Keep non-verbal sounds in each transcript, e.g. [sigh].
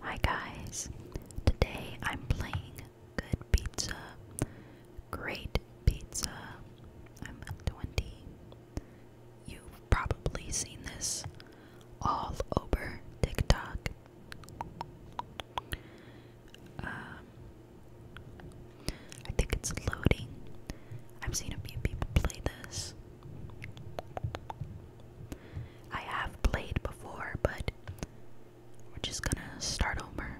Hi guys, today I'm playing Good Pizza, Great Pizza. I'm 20. You've probably seen this all over TikTok. Um, I think it's loading. I've seen a few people play this. I have played before, but we're just gonna start over.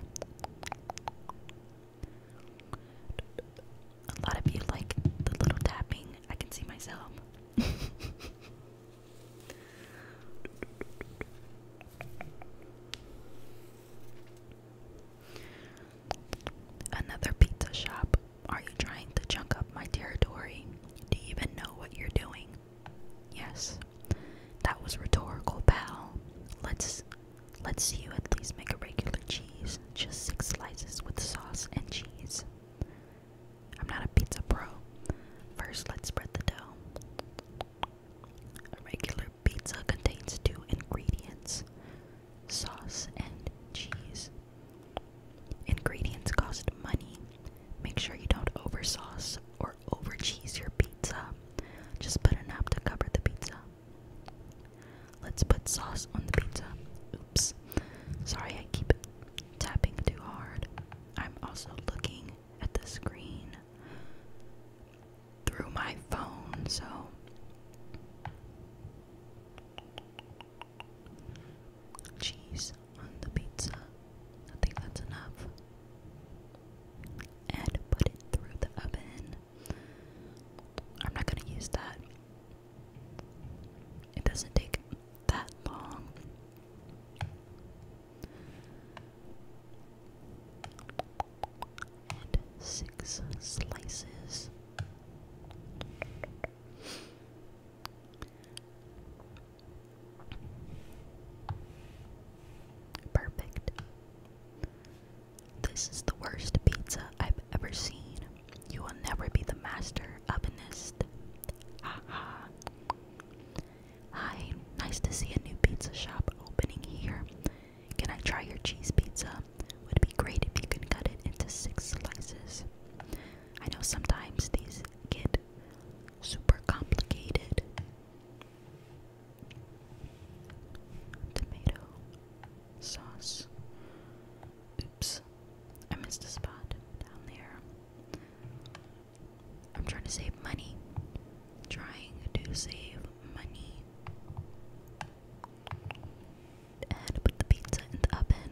A lot of you like the little tapping, I can see myself. [laughs] Another pizza shop. Are you trying to chunk up my territory? Do you even know what you're doing? Yes. That was rhetorical, pal. Let's let's you at least make a regular cheese. Just six slices with sauce and cheese. I'm not a pizza pro. First, let's spread the dough. A regular pizza contains two ingredients sauce, and cheese. Ingredients cost money. Make sure you don't over or over your pizza. Just put enough to cover the pizza. Let's put sauce on the pizza. Oops. Sorry, I keep tapping too hard. I'm also looking at the screen through my phone, so. Cheese on the pizza. I think that's enough. And put it through the oven. I'm not gonna use that. It doesn't take that long. And six slices. Perfect. This is the worst pizza I've ever seen. You will never be the master ovenist. Haha. Hi, nice to see a new pizza shop opening here. Can I try your cheese pizza? Would be great if you could cut it into six slices. I know sometimes these get super complicated. Tomato sauce. Oops, I missed a spot down there. I'm trying to save money. Trying to save money and put the pizza in the oven.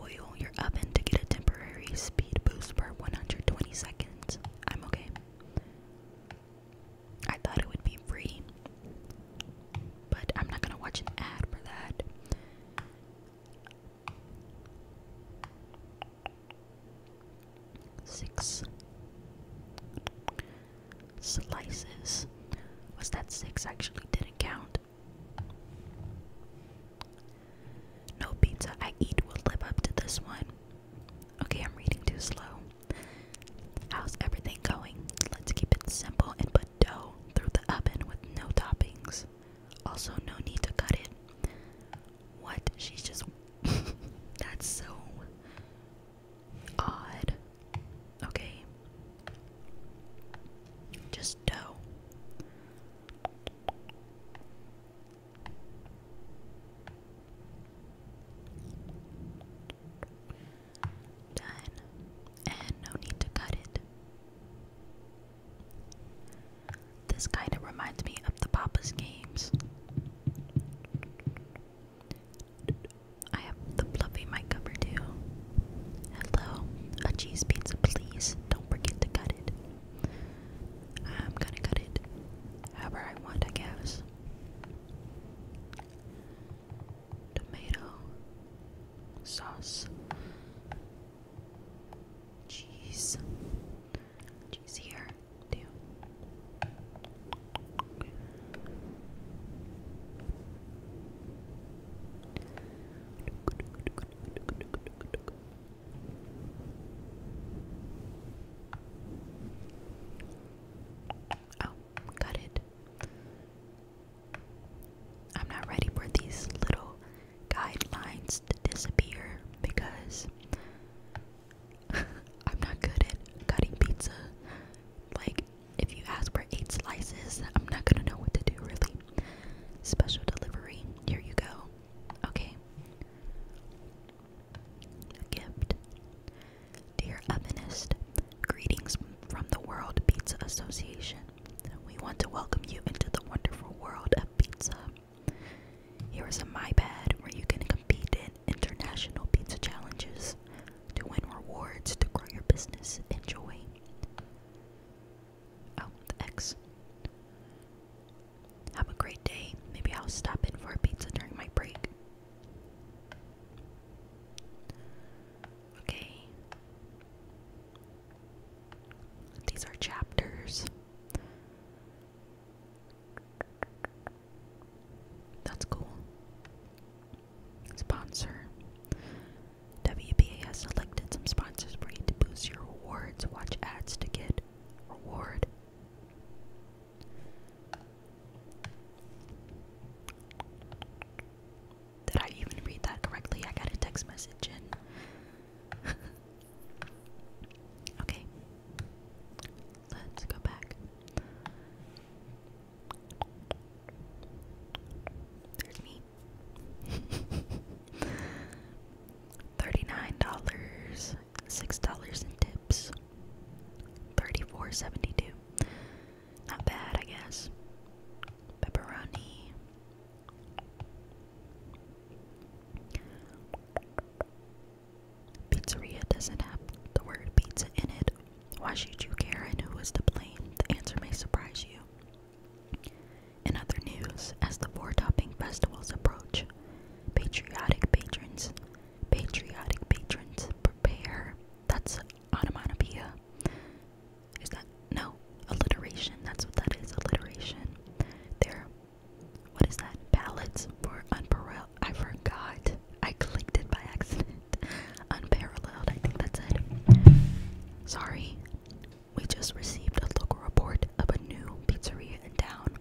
Oil your oven to get a temporary speed boost for 120 seconds. I'm okay. I thought it would be free, but I'm not gonna watch an ad for that. Six slices. Was that six actually didn't count? No pizza I eat will live up to this one. Okay, I'm reading too slow. How's everything going? Let's keep it simple and put dough through the oven with no toppings. Also, no need to cut it. What? She's just. [laughs] That's so odd. Okay. Just dough. Done. And no need to cut it. This kind of reminds me of the Papa's games. I have the fluffy mic cover too. Hello, a cheese pizza, please. Don't forget to cut it. I'm gonna cut it however I want, I guess. Tomato sauce, cheese, scratches here Oh, got it. I'm not ready for these little guidelines to disappear because [laughs] I'm not good at cutting pizza. Like, if you ask for eight slices, I'm not gonna know what to do, really. Special delivery. Here you go. Okay. A gift. Dear Ovenist, greetings from the World Pizza Association. We want to welcome you into the wonderful world of pizza. Here is a MyPad where you can compete in international pizza challenges to win rewards to grow your business. Enjoy. Oh, the X. Have a great day. Maybe I'll stop in for a pizza during my break. Okay. These are chapters. That's cool. Sponsor. WBA has selected some sponsors for you to boost your rewards. Watch ads to get reward. Did I even read that correctly? I got a text message in. [laughs] Okay. Let's go back. There's me. [laughs] Thirty-nine dollars, six dollars in tips. Thirty-four seventy-two. Not bad, I guess. Pepperoni. Pizzeria doesn't have the word pizza in it. Why should you care and who is to blame? The answer may surprise you. In other news, as the four topping festivals approach, patriotic patrons, patriotic patrons prepare. That's onomatopoeia. Is that no alliteration? That's what that is. Alliteration. they what is that? Ballots for unparalleled. I forgot. I clicked it by accident. Unparalleled. I think that's it. Sorry. We just received a local report of a new pizzeria in town.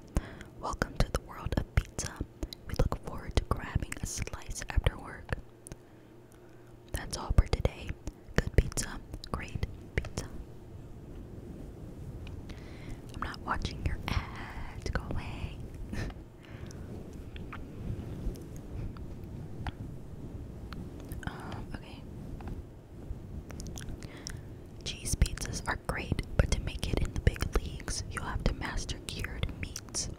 Welcome to the world of pizza. We look forward to grabbing a slice after work. That's all for today. Good pizza. Great pizza. I'm not watching your ads. Go away. Um, okay. Cheese pizzas are great, but to make it in the big leagues, you have to master cured meats.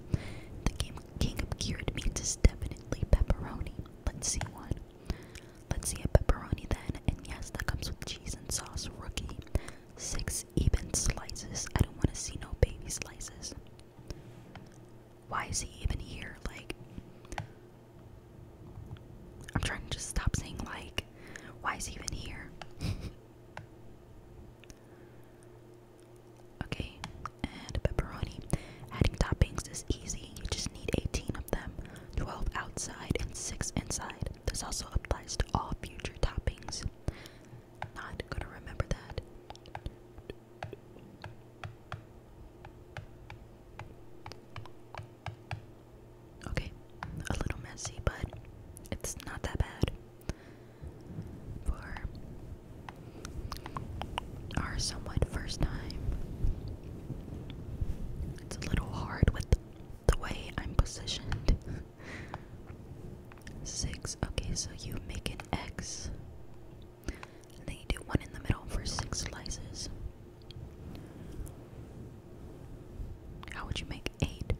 The game king of cured meats is definitely pepperoni. Let's see one. Let's see a pepperoni then, and yes, that comes with cheese and sauce, rookie. Six even slices. I don't want to see no baby slices. Why is he even here? Like, I'm trying to just stop saying, like, why is he even here? [laughs] okay, and pepperoni. Adding toppings is easy, you just need 18 of them. 12 outside, and 6 inside. This also applies to all future toppings. Not gonna remember that. Okay, a little messy, but it's not that bad. For our somewhat first time, it's a little hard with the way I'm positioned. Six. Okay, so you make an X. then you do one in the middle for six slices. How would you make eight?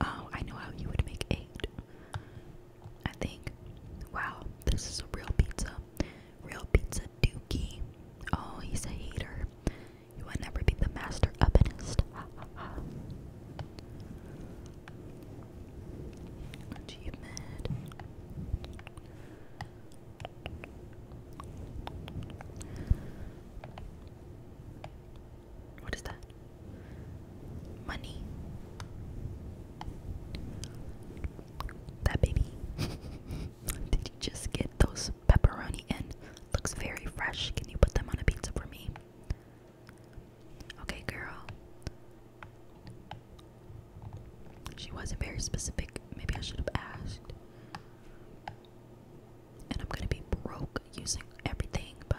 Oh, I know how you would make eight. I think. Wow, this is a real pizza. Real pizza dookie. Oh, he's a hater. You will never be the master ovenist. Ha ha ha. What is that? Money. That baby. [laughs] Did you just get those pepperoni in? Looks very fresh. Can you put them on a pizza for me? Okay, girl. She wasn't very specific. Maybe I should have asked. And I'm gonna be broke using everything, but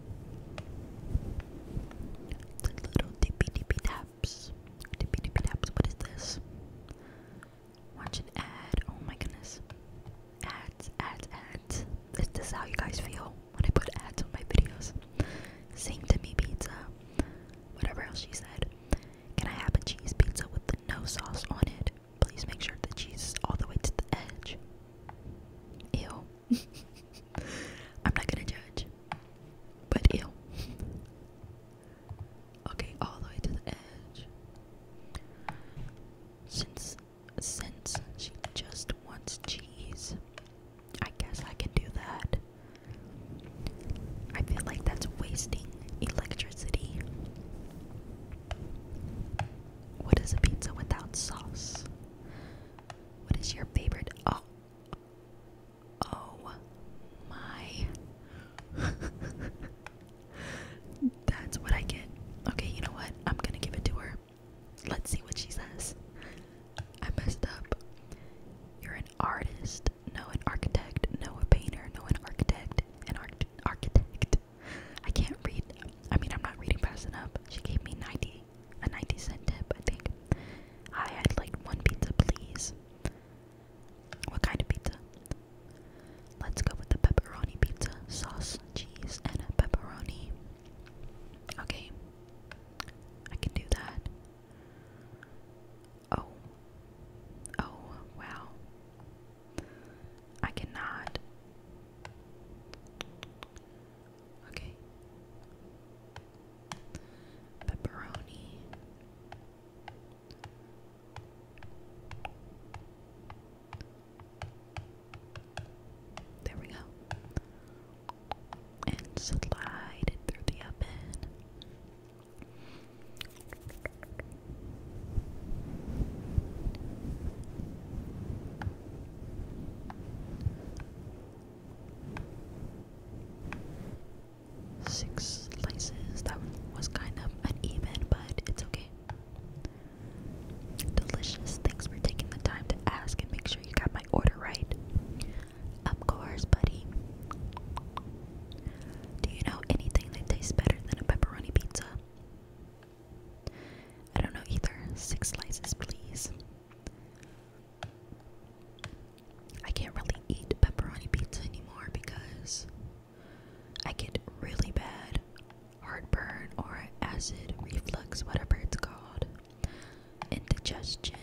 The little dippy dippy taps. Dippy dippy taps. What is this? Watch an ad. Oh my goodness. Ads, ads, ads. Is how you guys feel when I put ads on my videos? Same to me pizza. Whatever else she said. Can I have a cheese pizza with no sauce on it? Please make sure the cheese is all the way to the edge. Ew. [laughs] I'm not gonna judge. But ew. Okay, all the way to the edge. Since since she just wants cheese, I guess I can do that. I feel like that's wasting electricity. What is a pizza without sauce? What is your favorite? Oh, oh my. [laughs] That's what I get. Okay, you know what? I'm gonna give it to her. Let's see what she says. I messed up. You're an artist, no an architect, no a painter, no an architect, an arch architect. I can't read. I mean, I'm not reading fast up. She gave me 90 a 90 cent tip, I think. I had like one pizza, please. What kind of pizza? Let's go with the pepperoni pizza, sauce, cheese, and pepperoni. Okay, I can do that. Oh, oh, wow. I cannot. Okay. Pepperoni. There we go. And slide it through the oven. Six slices. That was kind of uneven, but it's okay. Delicious. Thanks for taking the time to ask and make sure you got my order right. Of course, buddy. Do you know anything that tastes better than a pepperoni pizza? I don't know either. Six slices, please. I can't really eat pepperoni pizza anymore because I get really bad heartburn or acid reflux, whatever it's called, indigestion.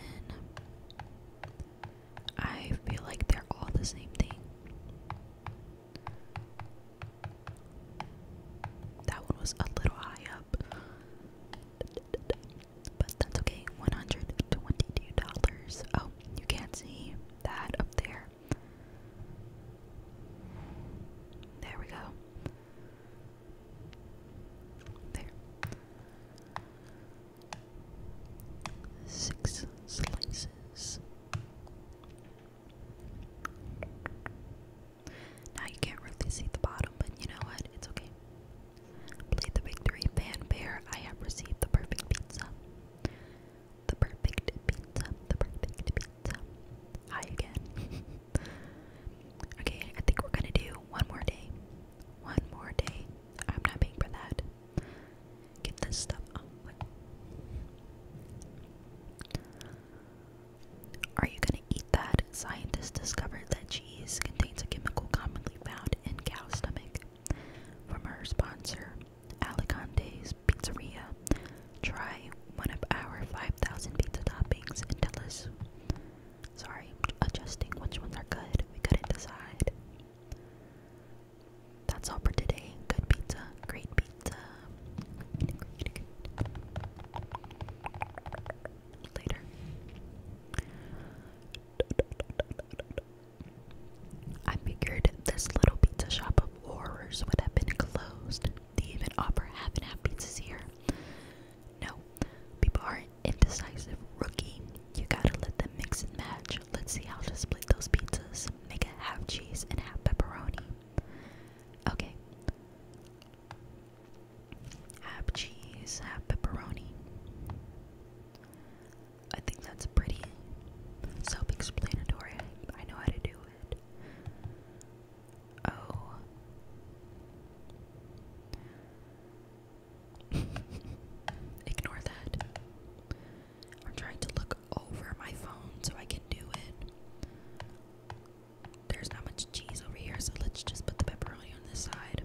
I feel like they're all the same thing. That one was a little high up. But that's okay. $122. Oh, you can't see that up there. There we go. There. Six slices. Now you can't really see the bottom, but you know what? It's okay. Play the victory fan bear. I have received the perfect pizza. The perfect pizza. The perfect pizza. Hi again. [laughs] okay, I think we're gonna do one more day. One more day. I'm not paying for that. Get this stuff. Oh, are you going to eat that? Scientists discovered that cheese contains a chemical commonly found in cow's stomach. From our sponsor, Aligante's Pizzeria, try one of our 5,000 pizza toppings and tell us. Sorry, adjusting which ones are good. We couldn't decide. That's all for today. Good pizza, great pizza. Uh, later. I figured this little pizza shop of horrors would have been closed. They even offer half and half pizzas here. No, people are indecisive. Rookie, you gotta let them mix and match. Let's see how to split those pizzas. Make a half cheese and half pepperoni. Okay, have cheese, have pepperoni. I think that's pretty self-explanatory. I know how to do it. Oh. [laughs] Ignore that. I'm trying to look over my phone so I can do it. There's not much cheese over here, so let's just put the pepperoni on this side.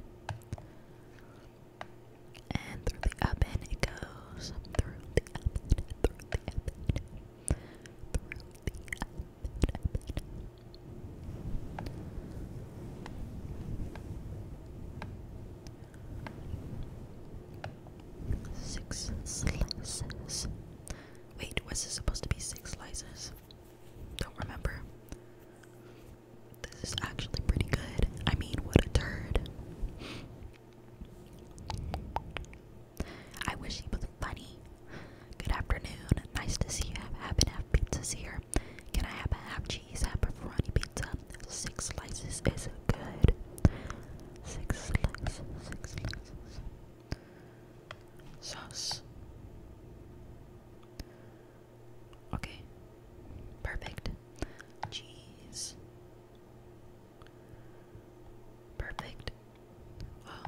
And through the oven it goes. Through the oven, through the oven, through the oven. Six slices. Wait, was this supposed to be six slices? Don't remember. This is actually pretty good. I mean, what a turd. I wish he was funny. Good afternoon. Nice to see you. Have and half pizzas here. Can I have a half cheese, half pepperoni pizza? Six slices is good. Six slices, six slices. Sauce. Okay. Perfect. Cheese. Perfect. Well,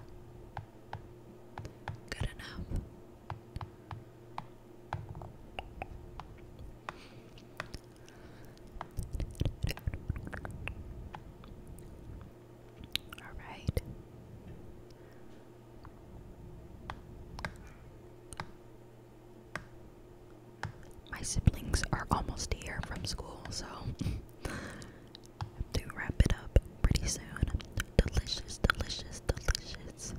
good enough. All right. My siblings are almost here from school, so have to wrap it up pretty soon. delicious, delicious, delicious.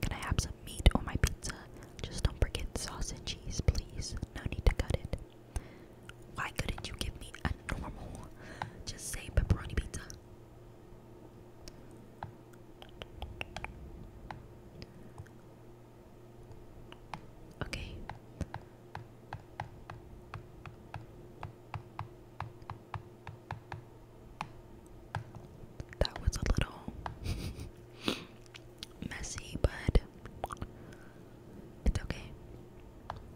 Can I have some meat on my pizza? Just don't forget sauce and cheese, please. No need to cut it. Why couldn't you give me a normal? Just say pepperoni pizza. Okay. That was a little [laughs] messy, but it's okay.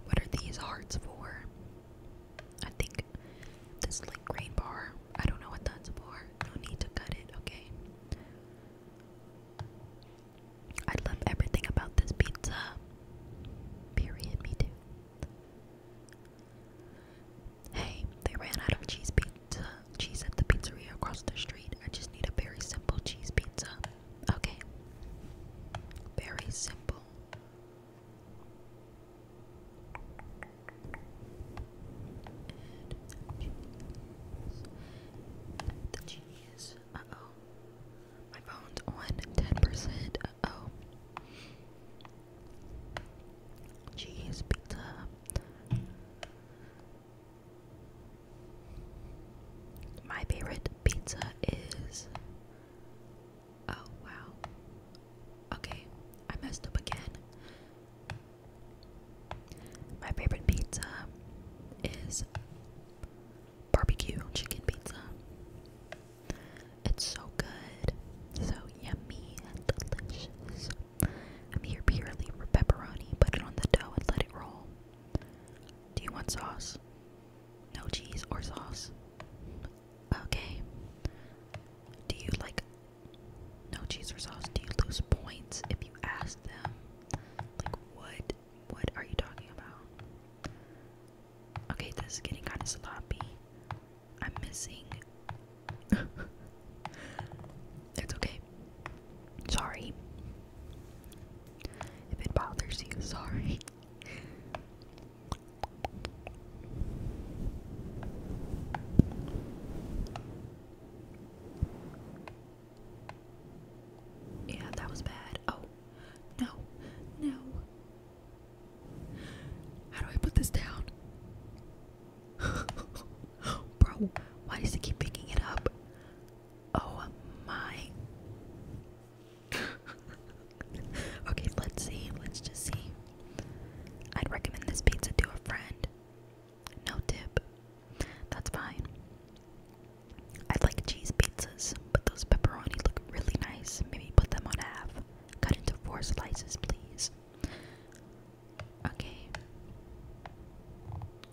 What are these hearts for? I think this like green bar. I don't know what that's for. No need to cut it, okay? I love everything about this pizza. Period, me too. Hey, they ran out of cheese pizza cheese at the pizzeria across the street. I just need a very simple cheese pizza. Okay. Very simple. the cheese. Uh oh. My phone's on 10%. Uh oh. Cheese pizza. My favorite pizza is. Oh, wow. Okay, I messed up again. My favorite pizza is barbecue chicken pizza. It's so good, so yummy and delicious. I'm here purely for pepperoni. Put it on the dough and let it roll. Do you want sauce? No cheese or sauce. Okay. Do you like no cheese or sauce? Do you lose points if you ask them? Like what? What are you talking about? Okay, this is getting kind of sloppy. I'm missing. [laughs] It's okay. Sorry. If it bothers you, sorry. Yeah, that was bad. Oh, no, no. How do I put this down? [laughs] Bro, why does it keep picking it up? Oh my. [laughs] okay, let's see. Let's just see. I'd recommend this pizza to a friend. No tip. That's fine. I like cheese pizzas, but those pepperoni look really nice. Maybe put them on half. Cut into four slices, please. Okay.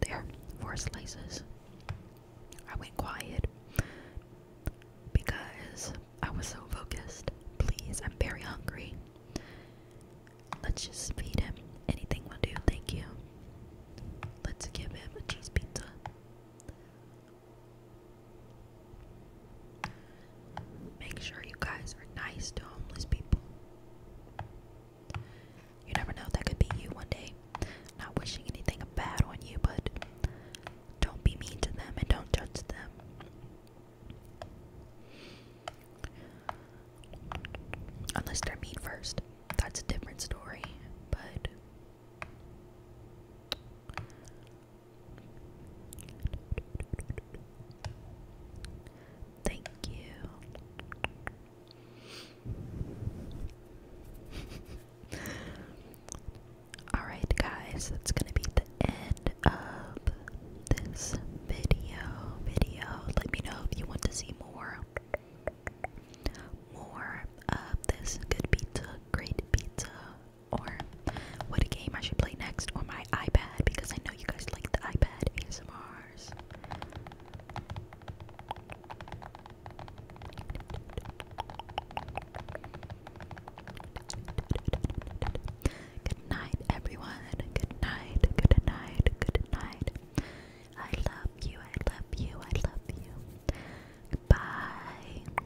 There, four slices. I went quiet because I was so focused. Please, I'm very hungry. Let's just feed him. Anything will do, thank you. Let's give him a cheese pizza. Make sure you guys are nice to homeless people. You never know, that could be you one day. Not wishing anything bad on you, but don't be mean to them and don't judge them. Unless they're mean first. That's a different story, but Thank you. [laughs] Alright, guys, that's gonna be the end of this video. Video. Let me know if you want to see more. More of this good pizza, great pizza or what game I should play next on my iPad because I know you guys like the iPad ASMRs. Good night, everyone. Good night, good night, good night. I love you, I love you, I love you. Bye.